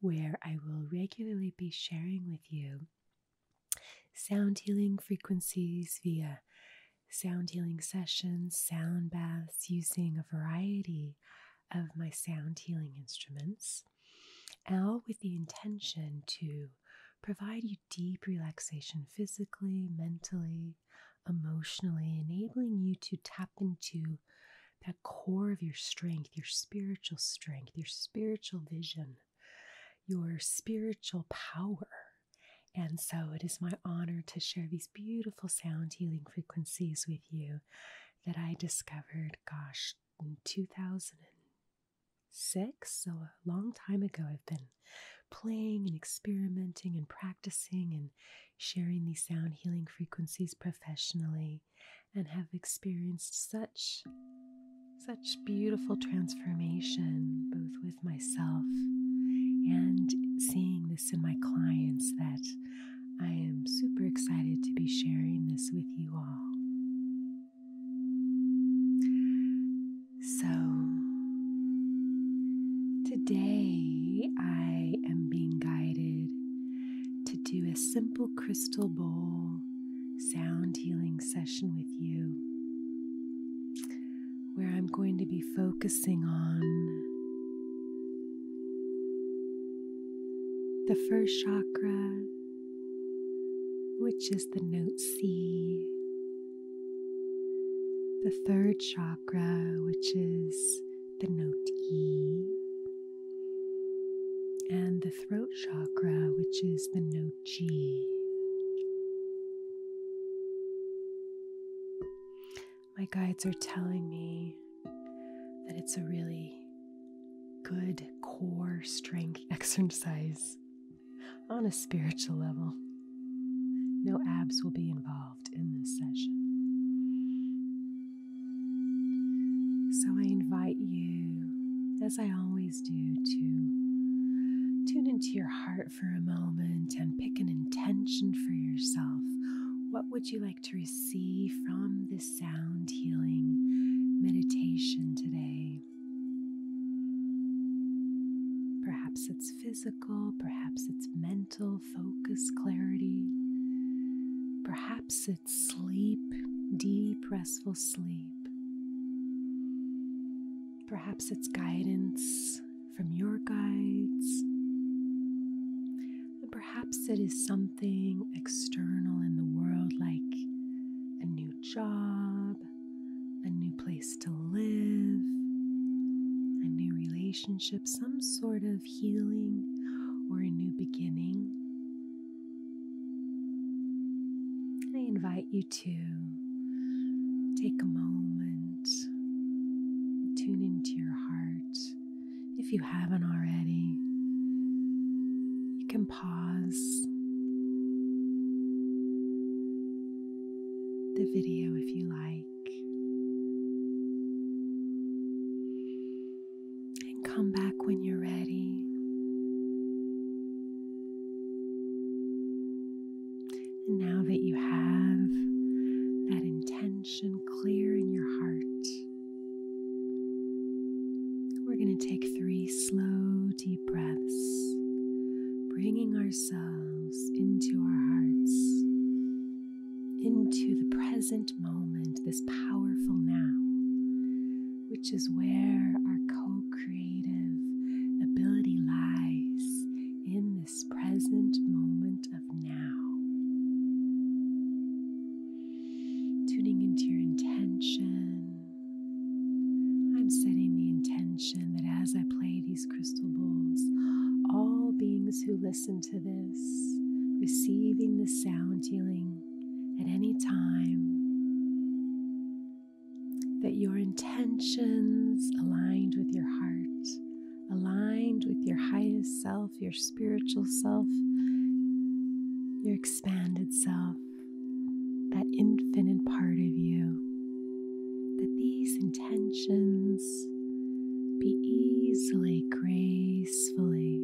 where I will regularly be sharing with you sound healing frequencies via sound healing sessions, sound baths, using a variety of my sound healing instruments, all with the intention to provide you deep relaxation physically, mentally, emotionally, enabling you to tap into that core of your strength, your spiritual strength, your spiritual vision, your spiritual power. And so it is my honor to share these beautiful sound healing frequencies with you that I discovered, gosh, in 2006. So a long time ago, I've been playing and experimenting and practicing and sharing these sound healing frequencies professionally and have experienced such such beautiful transformation both with myself and seeing this in my clients that I am super excited to be sharing this with you all. So, today I am being guided to do a simple crystal bowl sound healing session with you, where I'm going to be focusing on the first chakra, which is the note C. The third chakra, which is the note E and the throat chakra, which is the note G. My guides are telling me that it's a really good core strength exercise on a spiritual level. No abs will be involved in this session. So I invite you, as I always do, to tune into your heart for a moment and pick an intention for yourself. What would you like to receive from this sound healing meditation today? Perhaps it's physical, perhaps it's mental focus, clarity. Perhaps sleep, deep, restful sleep. Perhaps it's guidance from your guides. And perhaps it is something external in the world, like a new job, a new place to live, a new relationship, some sort of healing or a new beginning, I invite you to take a moment, tune into your heart. If you haven't already, you can pause. The video, if you like and come back when you're ready. And now that you have that intention clear in your heart, we're going to take three slow, deep breaths, bringing ourselves into our hearts, into the present moment, this powerful now, which is where our co creative ability lies in this present moment of now. Tuning into your intention. I'm setting the intention that as I play these crystal bowls, all beings who listen to this, receiving the sound healing at any time, that your intentions aligned with your heart, aligned with your highest self, your spiritual self, your expanded self, that infinite part of you, that these intentions be easily grazed peacefully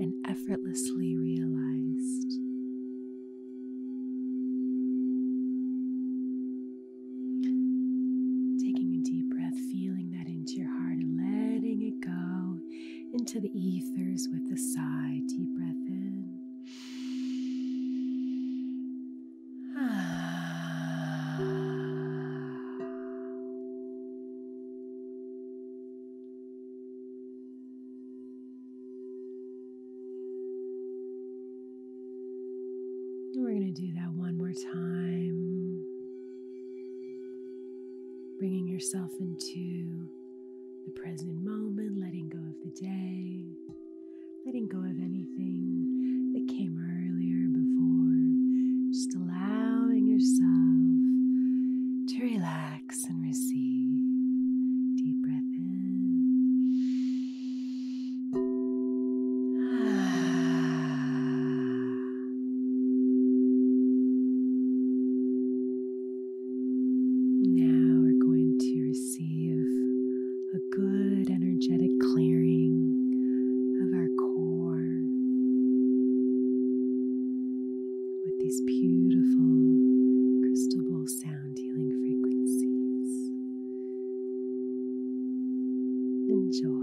and effortlessly realized. Taking a deep breath, feeling that into your heart and letting it go into the ethers with a sigh. Deep breath in. Ah. We're going to do that one more time. Bringing yourself into the present moment, letting go of the day, letting go of anything that came earlier before, just allowing yourself to relax and receive. Deep breath in. now we're going to receive a good energetic clearing of our core with these beautiful crystal ball sound healing frequencies. Enjoy.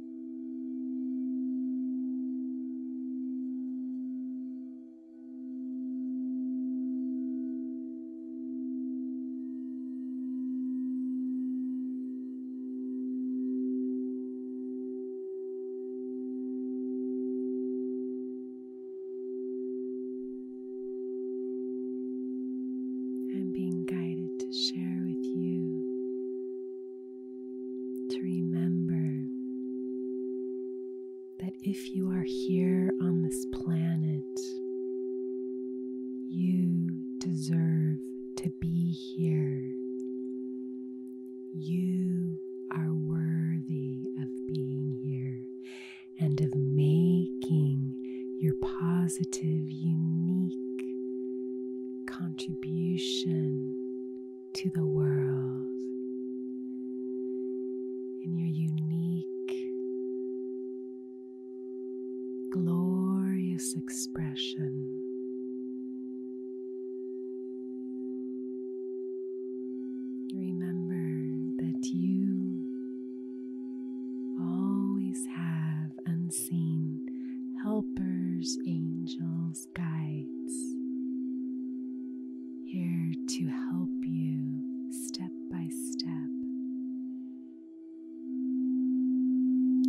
I'm being guided to share with you to remember that if you are here on this planet, you deserve to be here. You are worthy of being here and of making your positive, unique contribution to the world in your unique, glorious expression. Remember that you always have unseen helpers, angels guides, here to help you step by step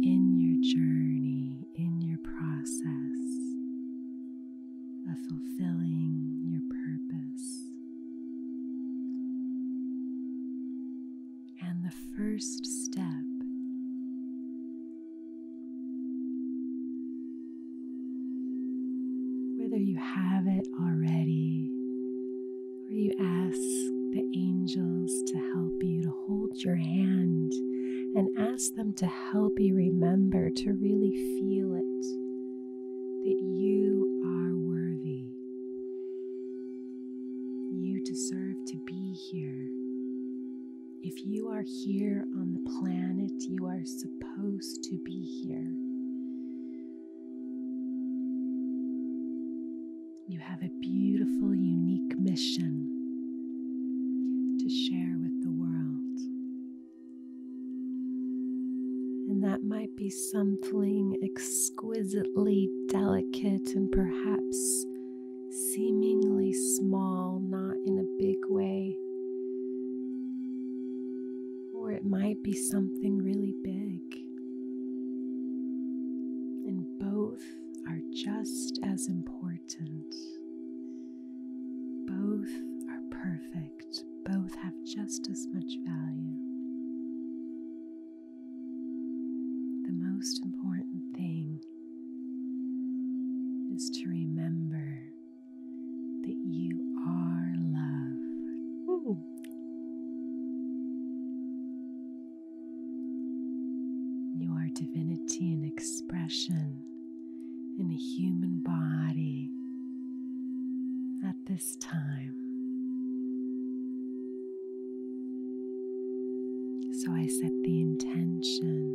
in your journey, in your process of fulfilling your purpose. And the first step whether you have it already or you ask the angels to help you, to hold your hand and ask them to help you remember to really feel it that you are worthy. You deserve to be here. If you are here on the planet, you are supposed to be here. You have a beautiful, unique mission to share with the world. And that might be something exquisitely delicate and perhaps seemingly small, not in a big way. Or it might be something really big. And both are just as important. Both are perfect. Both have just as much value. The most important thing is to remember that you are love. You are divinity in expression in a human body at this time. So I set the intention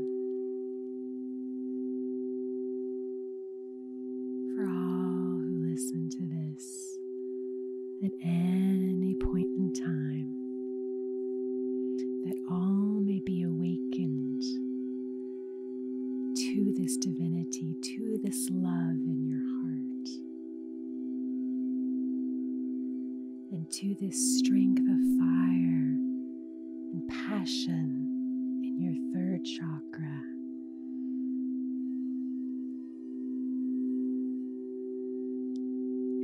for all who listen to this at any point in time that all may be awakened to this divinity, to this love in your heart and to this strength of fire and passion in your third chakra.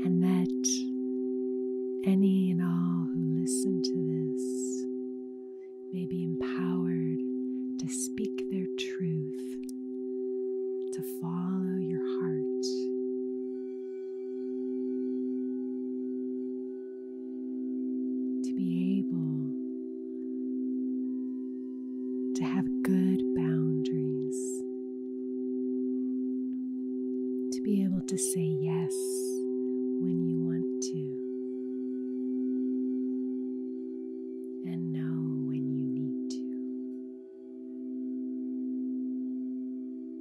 And that any and all who listen to this may be empowered to speak their truth, to follow your heart to be able to have good boundaries, to be able to say yes when you want to. when you need to.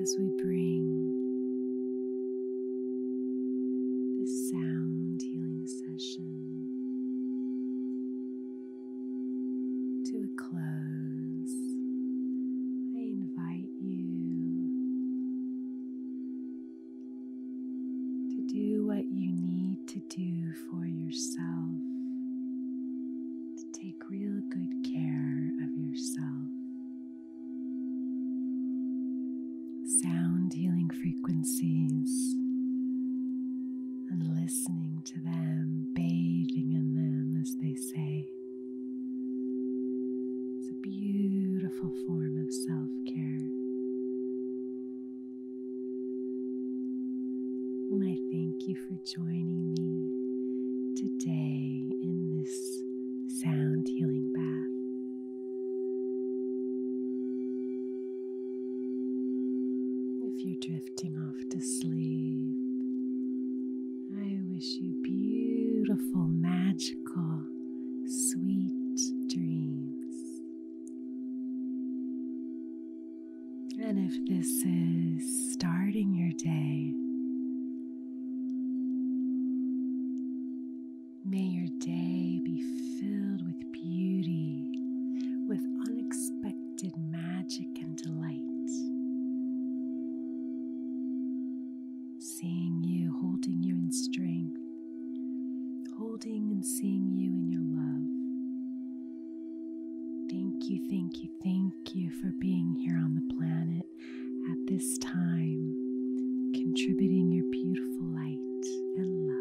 as we bring this sound healing session to a close. I invite you to do what you need to do for yourself, to take real good care of yourself. Sound healing frequencies and listening to them, bathing in them, as they say. It's a beautiful form of self care. I thank you for joining me today in this sound healing bath. If you're drifting off to sleep, I wish you beautiful, magical, sweet dreams. And if this is starting your day, may your day be filled with beauty, with unexpected magic and delight. Seeing you, holding you in strength holding and seeing you in your love. Thank you, thank you, thank you for being here on the planet at this time, contributing your beautiful light and love.